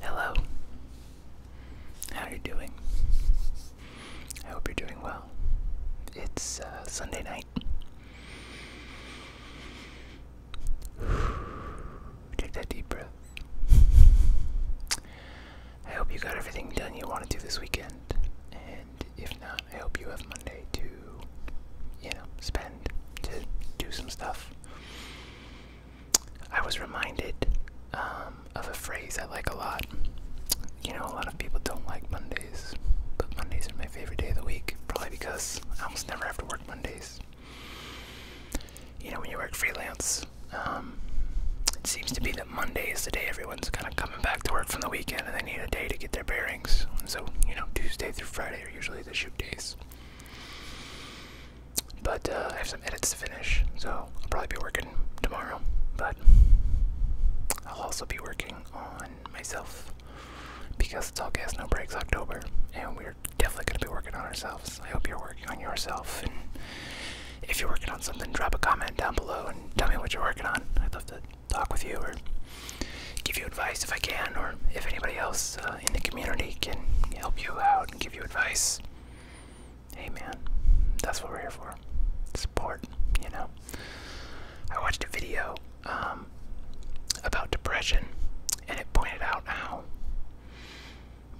Hello. How are you doing? I hope you're doing well. It's uh, Sunday night. Take that deep breath. I hope you got everything done you want to do this weekend. And if not, I hope you have Monday to, you know, spend, to do some stuff. I was reminded um, of a phrase I like a lot. You know, a lot of people don't like Mondays, but Mondays are my favorite day of the week, probably because I almost never have to work Mondays. You know, when you work freelance, um, it seems to be that Monday is the day everyone's kind of coming back to work from the weekend and they need a day to get their bearings. so, you know, Tuesday through Friday are usually the shoot days. But uh, I have some edits to finish, so I'll probably be working tomorrow. But I'll also be working on myself because it's all gas no breaks October, and we're definitely going to be working on ourselves. I hope you're working on yourself, if you're working on something, drop a comment down below and tell me what you're working on. I'd love to talk with you or give you advice if I can, or if anybody else uh, in the community can help you out out and give you advice. Hey man, that's what we're here for. Support, you know. I watched a video um, about depression and it pointed out how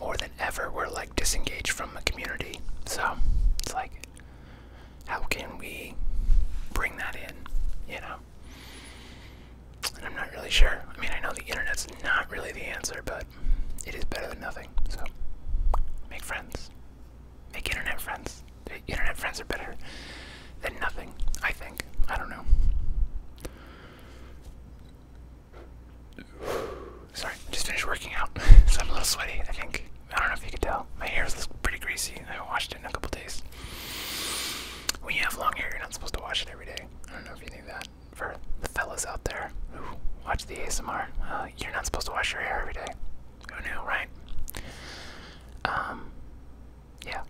more than ever we're like disengaged from the community. So it's like, how can we bring that in, you know? I'm not really sure. I mean, I know the internet's not really the answer, but it is better than nothing. So, make friends. Make internet friends. internet friends are better than nothing, I think. I don't know. Sorry, just finished working out, so I'm a little sweaty, I think. I don't know if you can tell. My hair is pretty greasy. I haven't washed it in a couple days. When you have long hair, you're not supposed to wash it every day. I don't know if you knew that for the fellas out there who watch the ASMR. Uh, you're not supposed to wash your hair every day. Who knew, right? Um, yeah.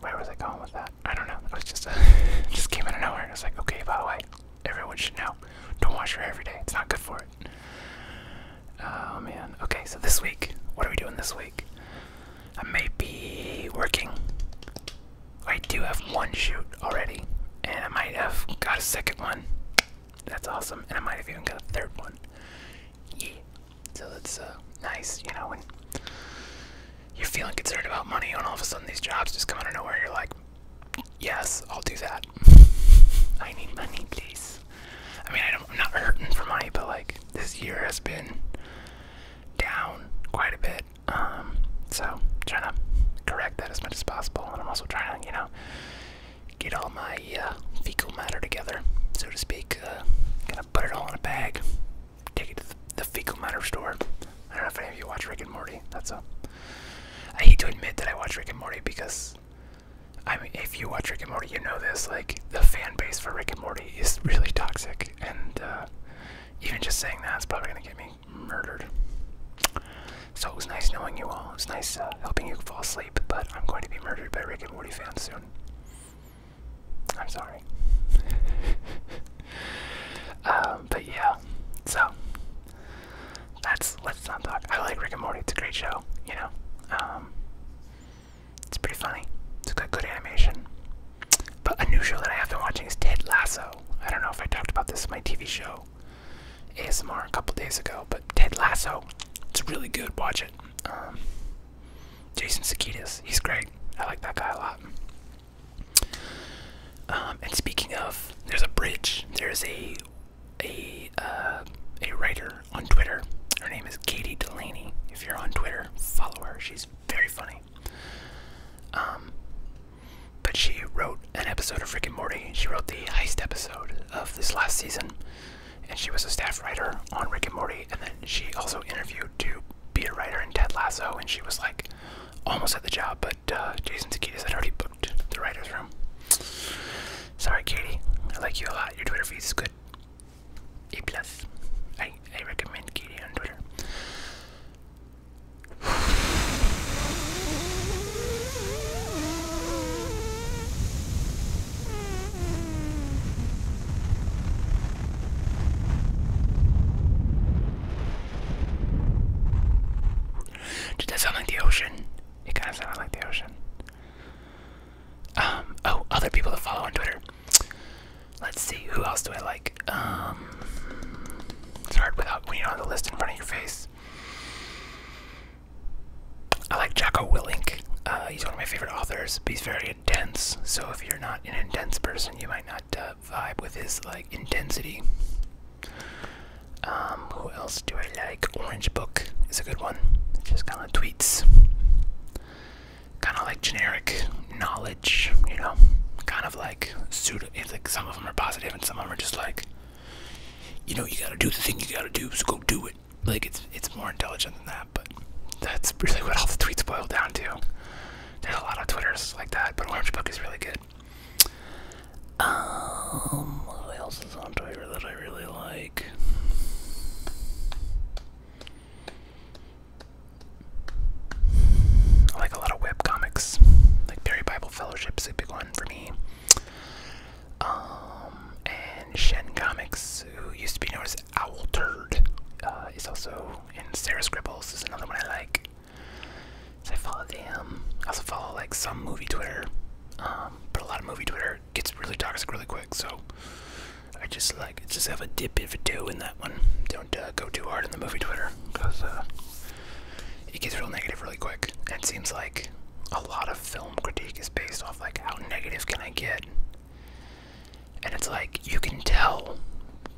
Where was I going with that? I don't know. It was just, a, just came out of nowhere. It's like, okay, by the way, everyone should know. Don't wash your hair every day. It's not good for it. Oh man. Okay, so this week, what are we doing this week? I may be working. I do have one shoot already, and I might have got a second one. That's awesome, and I might have even got a third one. Yeah, so that's uh, nice, you know, when you're feeling concerned about money, and all of a sudden these jobs just come out of nowhere, you're like, yes, I'll do that. I need money, please. I mean, I'm not hurting for money, but like, this year has been down quite a bit. Um, so trying to correct that as much as possible, and I'm also trying to, you know, get all my uh, fecal matter together, so to speak. Uh, gonna put it all in a bag, take it to the fecal matter store. I don't know if any of you watch Rick and Morty. That's a. I hate to admit that I watch Rick and Morty because, I mean, if you watch Rick and Morty, you know this. Like the fan base for Rick and Morty is really toxic and uh, even just saying that is probably gonna get me murdered. So it was nice knowing you all. It was nice uh, helping you fall asleep, but I'm going to be murdered by Rick and Morty fans soon. I'm sorry. um, but yeah, so that's let's not talk. I like Rick and Morty. It's a great show, you know. Um, it's pretty funny. It's got good animation. But a new show that I have been watching is Ted Lasso. I don't know if I talked about this in my TV show ASMR a couple days ago, but Ted Lasso, it's really good. Watch it. Um, Jason Sudeikis, he's great. I like that guy a lot. Um, and speaking of, there's a bridge. There's a a uh, a writer on Twitter. Her name is Katie Delaney. If you're on Twitter, follow her. She's very funny. Um, but she wrote an episode of Rick and Morty. She wrote the heist episode of this last season, and she was a staff writer on Rick and Morty. And then she also interviewed to be a writer in Ted Lasso, and she was like almost at the job, but uh, Jason Sudeikis had already booked the writers' room. Sorry, Katie. I like you a lot. Your Twitter feed is good. E plus. I I recommend Katie on Twitter. Did that sound like the ocean? It kind of sounded like the ocean. Um, oh, other people that follow on Twitter. Let's see, who else do I like? Um, it's hard without uh, when you do have the list in front of your face. I like Jocko Willink. Uh, he's one of my favorite authors, he's very intense. So if you're not an intense person, you might not uh, vibe with his like intensity. Um, who else do I like? Orange Book is a good one. just kind of tweets kind of like generic knowledge, you know, kind of like pseudo. It's like some of them are positive and some of them are just like, you know, you gotta do the thing you gotta do, so go do it. Like it's it's more intelligent than that, but that's really what all the tweets boil down to. There's a lot of Twitters like that, but Orange Book is really good. Um, what else is on Twitter that I really like? I like a lot of web comics, like Perry Bible Fellowship's a big one for me. Um, and Shen Comics, who used to be known as Owl Turd, uh, is also in Sarah Scribbles. Is another one I like. So I follow them. I also follow like some movie Twitter, um, but a lot of movie Twitter gets really toxic really quick. So I just like just have a dip if you do in that one. Don't uh, go too hard on the movie Twitter because uh, it gets real negative really quick. it seems like a lot of film critique is based off like how negative can I get, and it's like you can tell.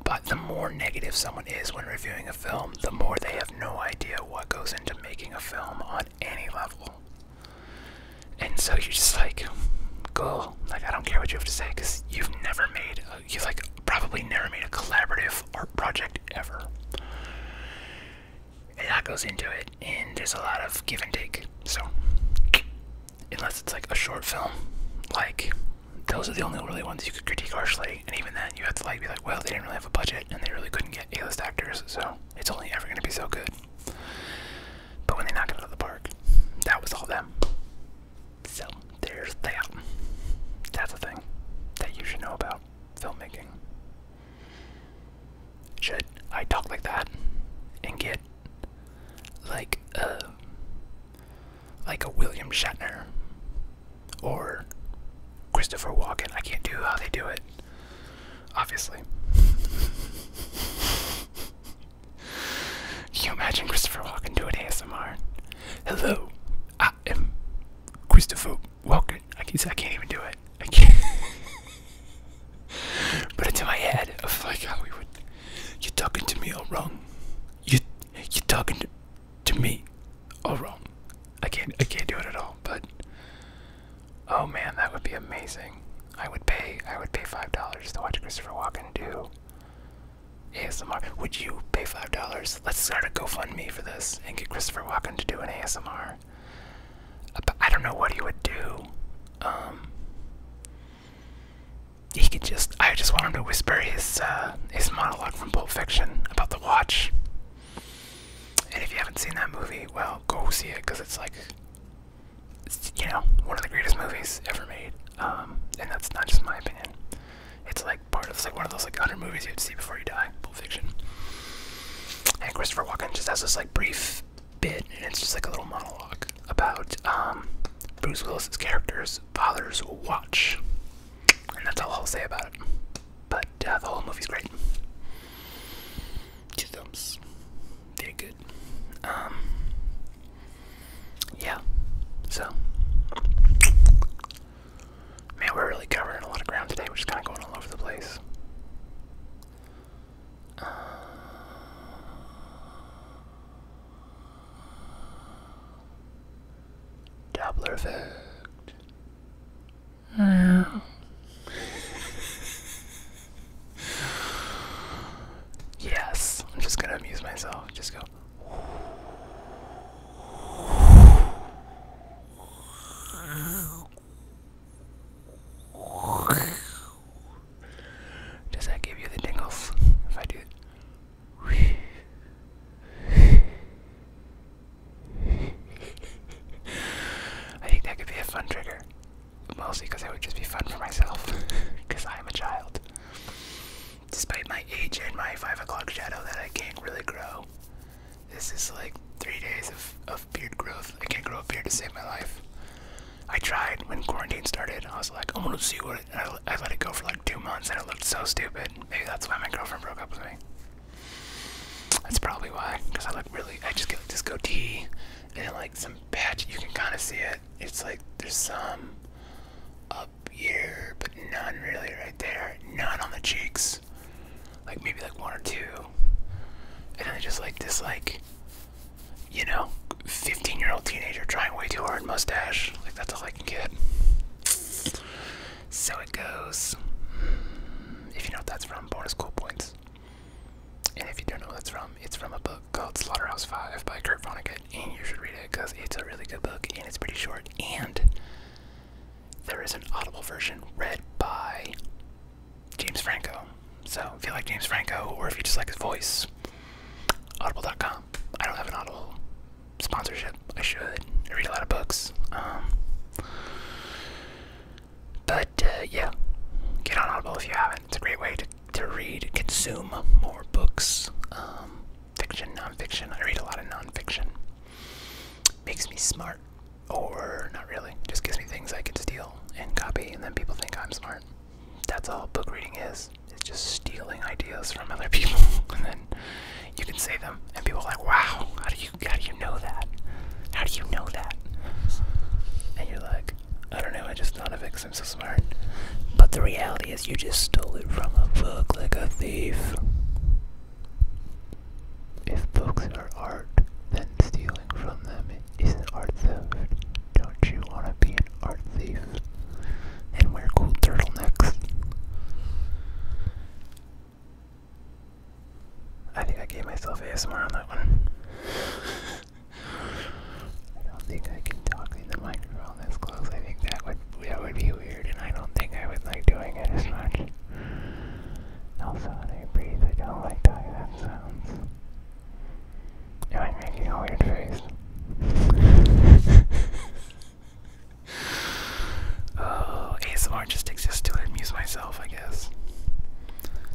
But the more negative someone is when reviewing a film, the more they have no idea what goes into making a film on any level and so you're just like, cool. Like I don't care what you have to say because you've never made, you've like probably never made a collaborative art project ever. And that goes into it, and there's a lot of give and take. So unless it's like a short film, like those are the only really ones you could critique harshly, and even then you have to like be like, well, they didn't really have a budget, and they really couldn't get A-list actors, so it's only ever gonna be so good. But when they knock it out of the park, that was all them. So there's that. That's a thing that you should know about filmmaking. Should I talk like that and get like a like a William Shatner or Christopher Walken? I can't do how they do it, obviously. Can you imagine Christopher Walken doing ASMR? Hello, I am Christopher Walken. I can't, I can't even do it. I can't. but it's in my head Oh like how we would. You're talking to me all wrong. You, you're talking to me all wrong. I can't. I can't do it at all. But oh man, that would be amazing. I would pay I would pay five dollars to watch Christopher Walken do ASMR. Would you pay five dollars? Let's start a GoFundMe for this and get Christopher Walken to do an ASMR. Uh, I don't know what he would do. Um, he could just I just want him to whisper his uh, his monologue from Pulp Fiction about the watch. And if you haven't seen that movie, well, go see it because it's like you know, one of the greatest movies ever made. Um, and that's not just my opinion. It's like part of like one of those like hundred movies you have to see before you die. Pulp And Christopher Walken just has this like brief bit, and it's just like a little monologue about um, Bruce Willis's character's father's watch, and that's all I'll say about it. But uh, the whole movie's great. Two thumbs. Very good. Um, yeah. So, man, we're really covering a lot of ground today. We're just kind of going all over the place. Uh, effect. Yeah. yes, I'm just gonna amuse myself. Just go. Does that give you the tingles if I do I think that could be a fun trigger mostly because it would just be fun for myself, because I am a child. Despite my age and my 5 o'clock shadow that I can't really grow, this is like three days of, of beard growth. I can't grow a beard to save my life. I tried when quarantine started. I was like, I'm gonna see what. It, I, let it go for like two months, and it looked so stupid. Maybe that's why my girlfriend broke up with me. That's probably why, because I look really. I just get like this goatee, and like some patch. You can kind of see it, it's like there's some up here, but none really right there. None on the cheeks. Like maybe like one or two. And then just like this like you know, 15 year old teenager trying way too hard mustache. Like that's all I can get. So it goes. If you know that's from, bonus cool points. And if you don't know where it's from, it's from a book called Slaughterhouse Five by Kurt Vonnegut, and you should read it because it's a really good book and it's pretty short. And there is an audible version read by James Franco. So if you like James Franco, or if you just like his voice, audible.com. I don't have an audible sponsorship. I should. I read a lot of books. Um, but uh, yeah, get on Audible if you haven't. It's a great way to to read, consume more books, um, fiction, nonfiction. I read a lot of nonfiction. Makes me smart, or not really. Just gives me things I can steal and copy, and then people think I'm smart. That's all book reading is. It's just stealing ideas from other people, and then you can say them, and people are like, "Wow, how do you how do you know that? How do you know that?" And you're like, "I don't know. I just thought of it." I'm so smart. But the reality is, you just stole it from a book like a thief. If books are art, then stealing from them is an art theft. Don't you want to be an art thief? And wear cool turtlenecks? I think I gave myself ASMR on that one. I don't think I can talk in the microphone this close. I think that would that would be weird, and I don't think I would like doing it as much. Also, when I breathe, I don't like the way that sounds. Am I making a weird face? oh, ASMR just exists to amuse myself, I guess.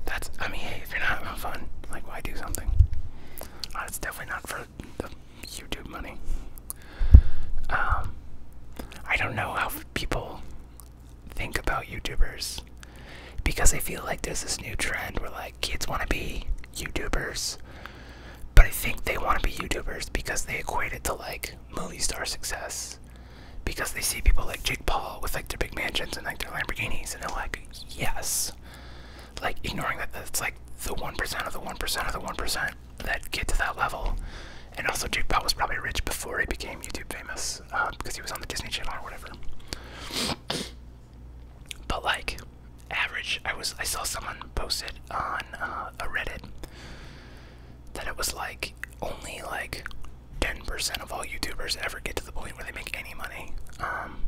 That's, I mean, if you're not having fun, like, why do something? Uh, it's definitely not for the YouTube money. Um, I don't know how people think about YouTubers because I feel like there's this new trend where, like, kids want to be YouTubers, but I think they want to be YouTubers because they equate it to, like, movie star success because they see people like Jake Paul with like their big mansions and like their Lamborghinis, and they're like, yes, like ignoring that it's like the 1% of the 1% of the 1% that get to that level. And also, Jake Paul was probably rich before he became YouTube famous because um, he was on the Disney Channel or whatever. But like, average, I was I saw someone posted on uh, a Reddit that it was like only like 10% of all YouTubers ever get. to the point where they make any money. Um,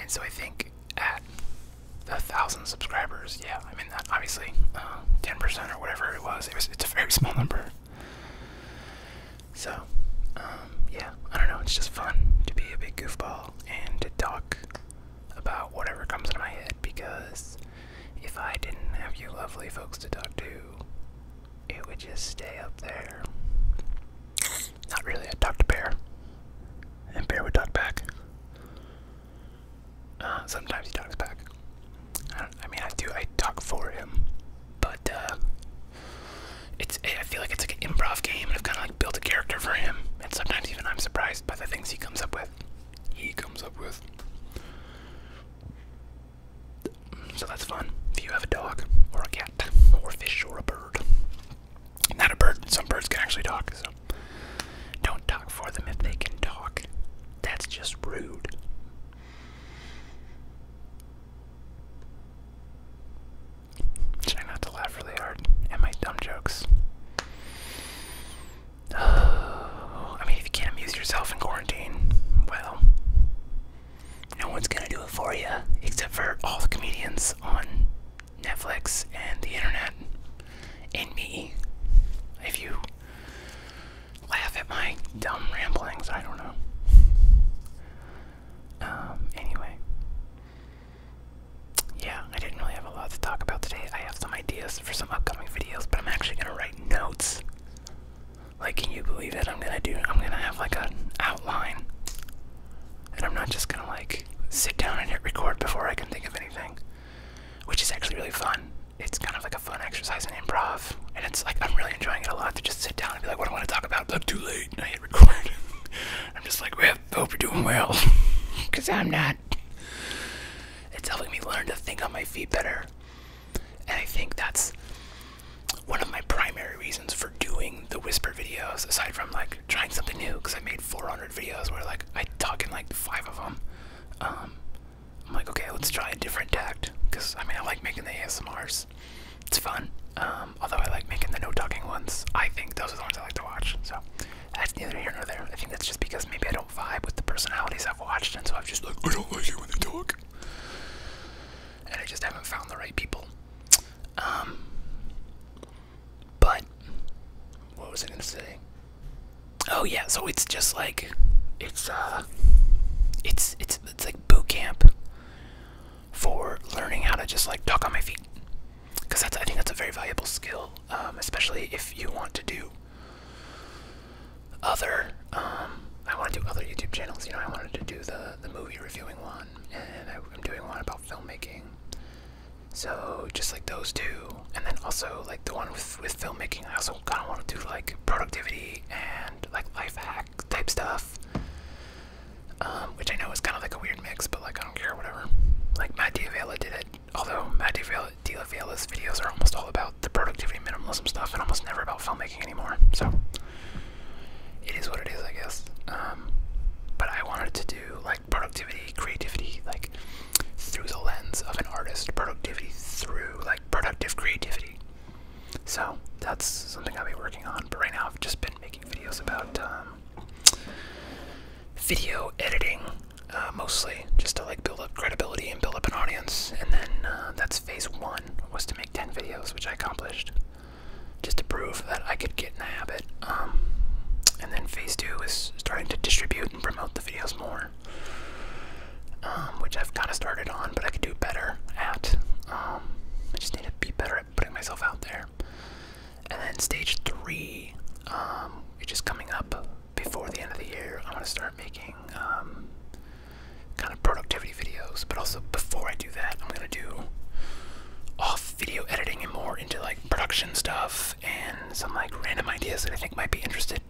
and so I think at a thousand subscribers, yeah, I mean that obviously uh, ten percent or whatever it was, it was it's a very small number. So, um, yeah, I don't know. It's just fun to be a big goofball and to talk about whatever comes into my head because if I didn't have you lovely folks to talk to, it would just stay up there. Not really. I talked to Bear, and Bear would talk back. Uh, sometimes he talks back. I, mean, I do. I talk for him, but uh, it's. I feel like it's like an improv game, and I've kind of like built a character for him. And sometimes even I'm surprised by the things he comes up with. He comes up with. So that's fun. If you have a dog or a cat or a fish or a bird. Not a bird, some birds can actually talk, so don't talk for them if they can talk. That's just rude. Try not to laugh really hard at my dumb jokes. I mean, if you can't amuse yourself in quarantine, well, no one's gonna do it for you except for all the comedians on Netflix and the internet and me. If you laugh at my dumb ramblings, I don't know. Um, anyway. Yeah, I didn't really have a lot to talk about today. I have some ideas for some upcoming videos, but I'm actually gonna write notes like, can you believe it? I'm gonna do, I'm gonna have like an outline. And I'm not just gonna like sit down and hit record before I can think of anything. Which is actually really fun. It's kind of like a fun exercise in improv. And it's like, I'm really enjoying it a lot to just sit down and be like, what do I wanna talk about? But too late. And I hit record. I'm just like, well, I hope you're doing well. Because I'm not. It's helping me learn to think on my feet better. And I think that's one of my primary reasons for doing the whisper videos, aside from like trying something new, because I made 400 videos where like I talk in like five of them. Um, I'm like, okay, let's try a different tact, because I mean, I like making the ASMRs. It's fun. Um, although I like making the no talking ones, I think those are the ones I like to watch. So that's neither here nor there. I think that's just because maybe I don't vibe with the personalities I've watched, and so I've just like I don't like you when you talk and I just haven't found the right people. Um, but what was I gonna say? Oh yeah, so it's just like it's uh, it's it's it's like boot camp for learning how to just like talk on my feet, because that's I think that's a very valuable skill, um, especially if you want to do other um, I want to do other YouTube channels. You know, I wanted to do the the movie reviewing one, and I'm doing one about filmmaking. So just like those two, and then also like the one with with filmmaking, I also kind of want to do like productivity and like life hack type stuff, um, which I know is kind of like a weird mix, but like I don't care, whatever. Like Matt Diavela did it, although Matt Diavela's videos are almost all about the productivity minimalism stuff and almost never about filmmaking anymore. So it is what it is, I guess. Um, but I wanted to do like productivity, creativity, like through the lens of an artist, productivity through like productive creativity. So that's something I'll be working on. But right now, I've just been making videos about um, video editing. Uh, mostly just to like build up credibility and build up an audience and then uh, that's phase one was to make 10 videos which i accomplished just to prove that I could get in the habit. Um, and then phase two is starting to distribute and promote the videos more, um, which I've kind of started on, but I could do better at. Um, I just need to be better at putting myself out there. And then stage three, um, which is coming up before the end of the year, I'm gonna start making kind of productivity videos. But also, before I do that, I'm gonna do off video editing and more into like production stuff and some like random ideas that I think might be interested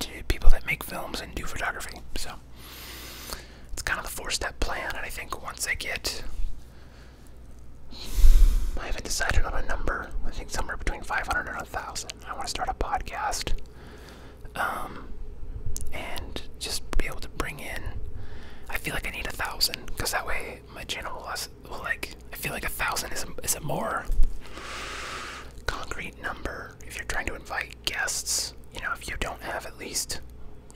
to people that make films and do photography. So it's kind of the four step plan. And I think once I get, I haven't decided on a number. I think somewhere between 500 and 1,000. I want to start a podcast um, and just be able to bring in. I feel like I need a thousand because that way my channel will, will like. I feel like a thousand is a, is a more concrete number if you're trying to invite guests. You know, if you don't have at least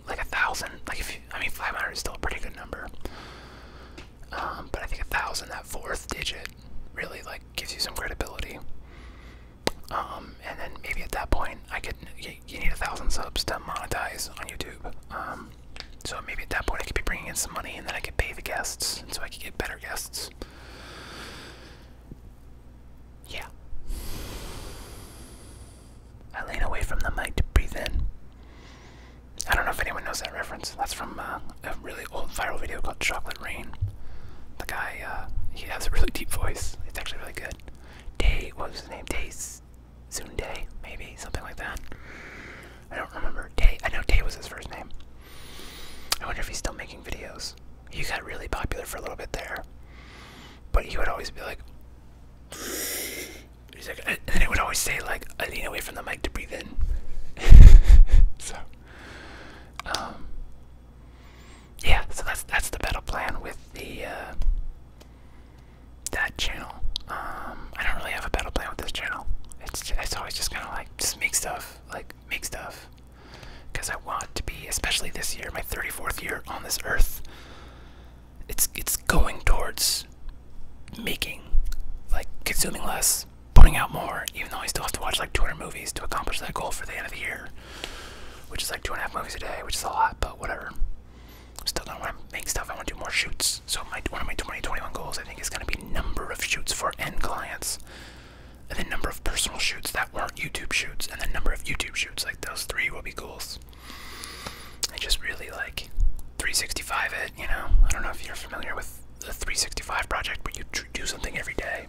like a thousand, like if you, I mean, 500 is still a pretty good number. Um, but I think a thousand, that fourth digit, really like gives you some credibility. Um, and then maybe at that point, I could you, need a thousand subs to monetize on YouTube. Um, so maybe at that point, I could be bringing in some money, and then I could pay the guests, so I could get better guests. Yeah. I lean away from the mic to breathe in. I don't know if anyone knows that reference. That's from uh, a really old viral video called Chocolate Rain. The guy, uh, he has a really deep voice. It's actually really good. Day, what was his name? Day Day, maybe something like that. I don't remember. Day, I know Day was his first name. I wonder if he's still making videos. He got really popular for a little bit there, but he would always be like, he's like, and then it would always say like, I lean away from the mic to breathe in. so, um, yeah, so that's that's the battle plan with the uh, that channel. Um, I don't really have a battle plan with this channel. It's it's always just kind of like just make stuff, like make stuff, because I want to be, especially this year, my 34th year on this earth. It's it's going towards making, like consuming less, putting out more. Even though I still have to watch like 200 movies to accomplish that goal for the end of the year which is like two and a half movies a day, which is a lot, but whatever. Still don't want to make stuff. I want to do more shoots. So one of my 2021 goals, I think, is going to be number of shoots for end clients, and the number of personal shoots that weren't YouTube shoots, and the number of YouTube shoots. Like those three will be goals. And just really like 365 it. You know, I don't know if you're familiar with the 365 project, but you do something every day.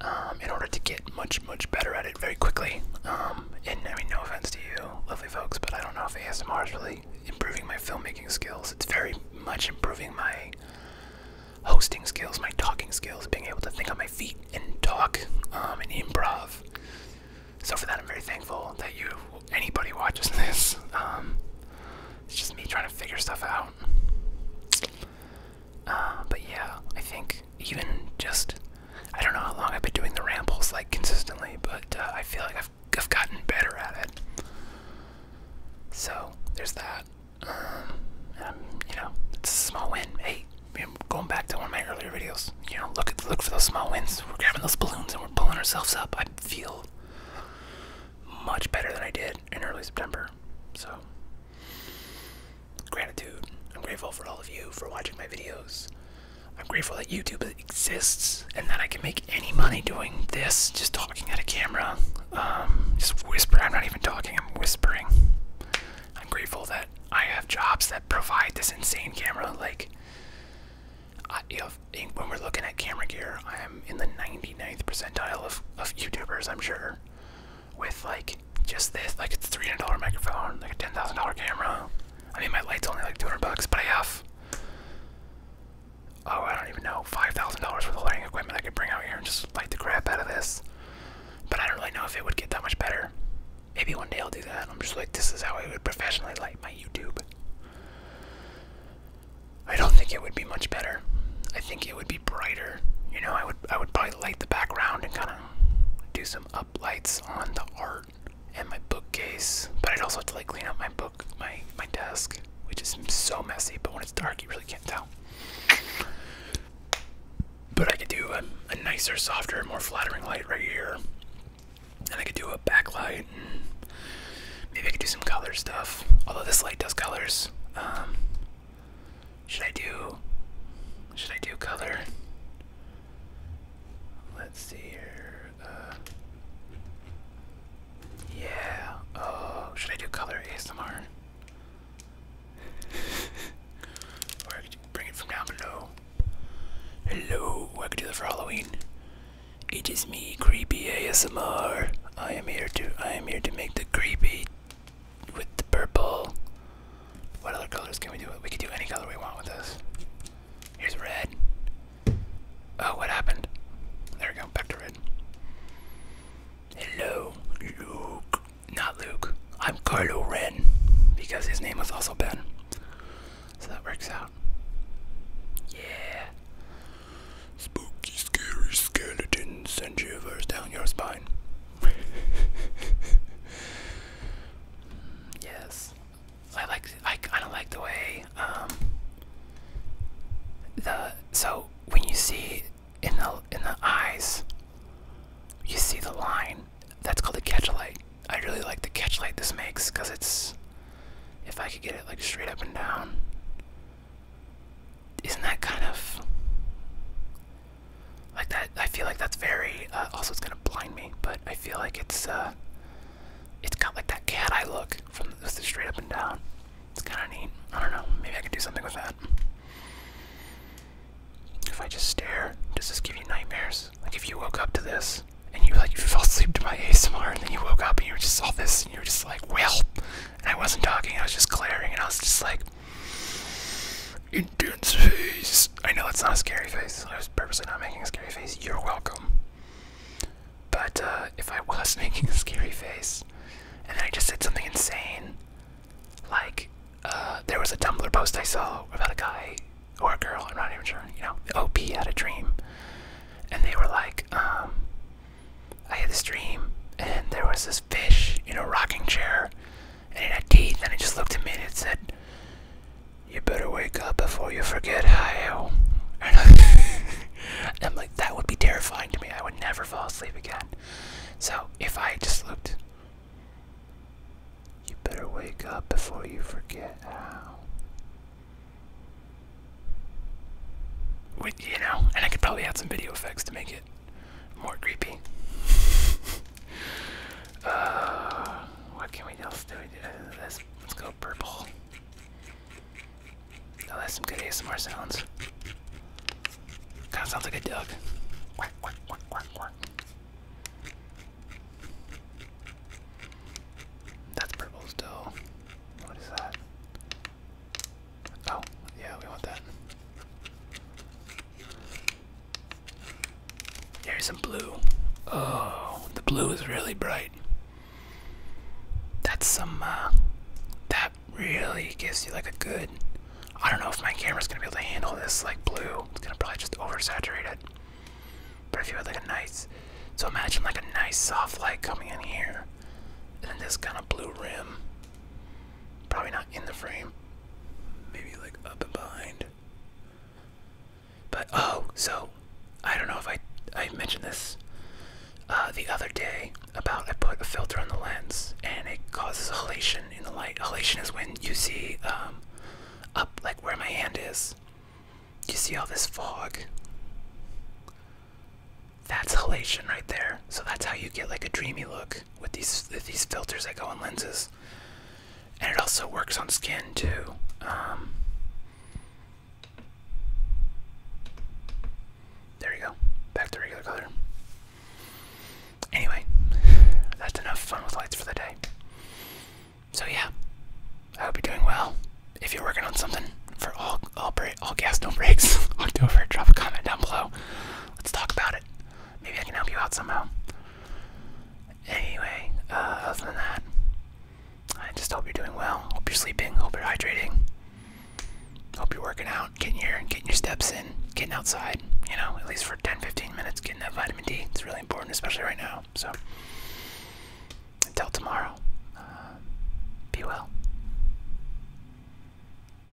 Um, in order to get much, much better at it very quickly. Um, and I mean, no offense to you, lovely folks, but I don't know if ASMR is really improving my filmmaking skills. It's very much improving my hosting skills, my talking skills, being able to think on my feet and talk um, and improv. So for that, I'm very thankful that you, anybody watches this. Um, it's just me trying to figure stuff out. Uh, but yeah, I think even just I don't know how long I've been doing the rambles like consistently, but uh, I feel like I've gotten better at it. So there's that. Um, you know, it's a small win. Hey, going back to one of my earlier videos. You know, look at look for those small wins. We're grabbing those balloons and we're pulling ourselves up. I feel much better than I did in early September. So Gratitude. I'm grateful for all of you for watching my videos. I'm grateful that YouTube exists and that I can make any money doing this, just talking at a camera. Um, just whisper. I'm not even talking, I'm whispering. I'm grateful that I have jobs that provide this insane camera. Like, when we're looking at camera gear, I'm in the 99th percentile of, of YouTubers, I'm sure with like just this, like it's a three hundred dollar microphone, like a ten thousand dollar camera. I mean, my light's only like two hundred bucks, but I have oh, I don't even know five thousand dollars worth of lighting equipment I could bring out here and just light the crap out of this. But I don't really know if it would get that much better. Maybe one day I'll do that. I'm just like, this is how I would professionally light my YouTube. I don't think it would be much better. I think it would be brighter. You know, I would I would probably light the background and kind of do some uplights on the art and my bookcase. But I'd also have to like clean up my book, my my desk, which is so messy. But when it's dark, you really can't tell. But I could do a, a nicer, softer, more flattering light right here, and I could do a backlight. maybe I could do some color stuff. Although this light does colors. Um, should I do should I do color? Let's see here. Uh, yeah. Oh, should I do color ASMR? or I could bring it from down below. Hello, I could do that for Halloween. It is me, creepy ASMR. I am here to I am here to make the creepy with the purple. What other colors can we do? We can do any color we want with this. Here's red. Oh, what happened? There we go, back to red. Hello, Luke. Not Luke. I'm Carlo Ren, because his name was also Ben. So that works out. Yeah. Spooky, scary skeletons send shivers down your spine. yes, I like. I kind of like the way um, the so when you see in the in the eyes, you see the line. That's called the catchlight. I really like the catchlight this makes because it's. If I could get it like straight up and down, isn't that kind of like that? I feel like that's very. Uh, also, it's gonna blind me, but I feel like it's. Uh, it's got like that cat eye look from the, straight up and down. It's kind of neat. I don't know. Maybe I could do something with that. If I just stare, does this give you nightmares? Like if you woke up to this and you like you fell asleep to my ASMR and then you woke up and you just saw this and you were just like, well, and I wasn't talking. I was just glaring and I was just like. Intense face. I know it's not a scary face. I was purposely not making a scary face. You're welcome. But uh, if I was making a scary face, and then I just said something insane, like uh, there was a Tumblr post I saw about a guy or a girl, I'm not even sure, you know, OP had a dream. And they were like, um, I had this dream, and there was this fish in a rocking chair, and it had teeth, and it just looked at me and it said, You better wake up before you forget how. And I'm like, That would be terrifying to me. I would never fall asleep again. So if I just looked, You better wake up before you forget how. you know, and I could probably add some video effects to make it more creepy. Uh, what can we else do? Let's, let's go purple. Oh, that's some good ASMR sounds. Kind of sounds like a dog. That's purple still. What is that? Oh, yeah, we want that. Here's some blue. Oh, the blue is really bright. That's some, uh, that really gives you like a good. I don't know if my camera's gonna be able to handle this like blue. It's gonna probably just oversaturate it. But if you had like a nice, so imagine like a nice soft light coming in here, and then this kind of blue rim. Probably not in the frame, maybe like up and behind. But oh, so I don't know if I I mentioned this uh, the other day about I put a filter on the lens and it causes halation in the light. Halation is when you see um, up like where my hand is. You see all this fog. That's halation right there. So that's how you get like a dreamy look with these these filters that go on lenses, and it also works on skin too. Um, there you go, back to regular color. Anyway, that's enough fun with lights for the day. So yeah, I hope you're doing well. If you're working on something for all all, break, all gas no breaks, October, drop a comment down below. Let's talk about it. Maybe I can help you out somehow. Anyway, uh, other than that, I just hope you're doing well. Hope you're sleeping. Hope you're hydrating. Hope you're working out, getting your getting your steps in, getting outside. You know, at least for 10-15 minutes, getting that vitamin D. It's really important, especially right now. So, until tomorrow, uh, be well.